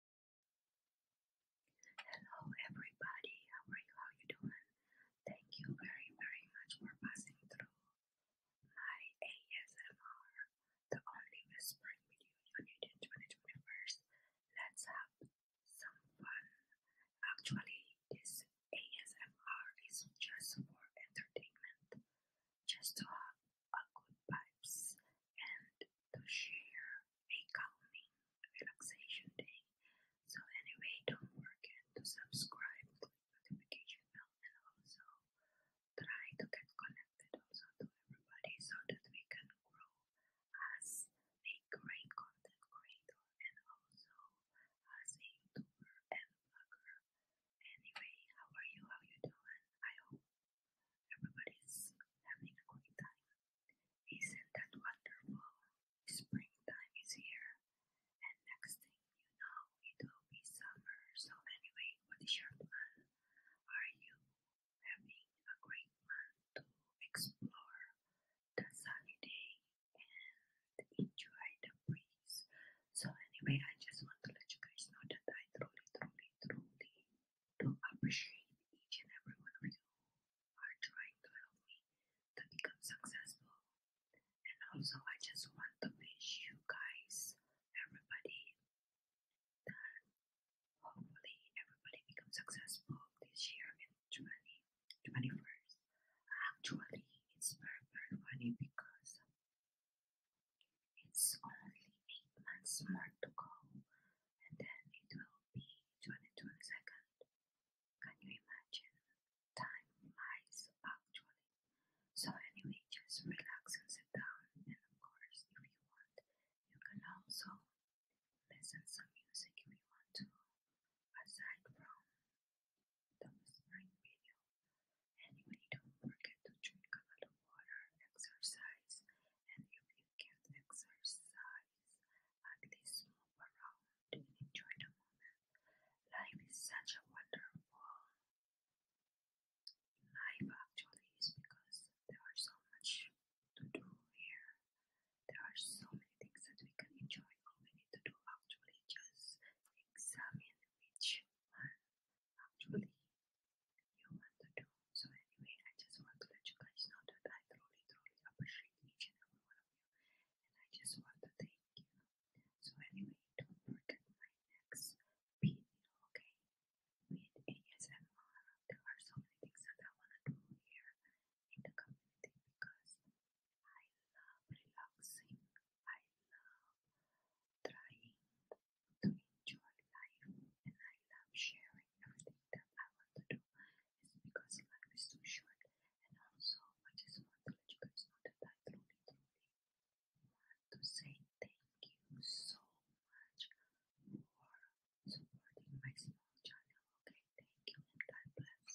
Hello everybody, how are you? How are you doing? Thank you very very much for passing through my ASMR, the only whispering video you need in 2021st. Let's have some fun. Actually, this ASMR is just for entertainment, just to have a good vibes and to share a calming relaxation day. So anyway, don't forget to subscribe, click notification bell and also try to get connected also to everybody so that we can grow as a great content creator and also as a YouTuber and blogger. Anyway, how are you? How you doing? I hope Everybody's having a great time. Isn't that wonderful? Springtime is here, and next thing you know, it'll be summer. So, anyway, what is your plan? Are you having a great month to explore the sunny day and enjoy the breeze? So, anyway, I just want to let you guys know that I truly, truly, truly to appreciate each and every one of you are trying to help me to become successful. And also, I just want to wish you guys, everybody, that hopefully everybody becomes successful this year in 2021. Actually, it's very, very funny because it's only eight months more to go, and then it will be 2022nd. Can you imagine? Time flies, actually. So, anyway, just relax and sit down. And of course, if you want, you can also listen some music if you want to, aside from the whispering video. Anyway, don't forget to drink a lot of water, exercise, and if you can't exercise, at least move around and enjoy the moment. Life is such a wonderful life, actually, is because there are so much to do here. There are so many things that we can enjoy. All we need to do, actually, just examine which one actually you want to do. So anyway, I just want to let you guys know that I truly, truly appreciate each and every one of you. And I just want to thank you. So anyway, don't forget my next video, okay? With ASMR. There are so many things that I want to do here in the community because I love relaxing I love trying to enjoy life and I love sharing everything that I want to do. It's because life is too short and also I just want to let you guys know that I truly, truly want to say thank you so much for supporting my small channel. Okay, thank you and God bless.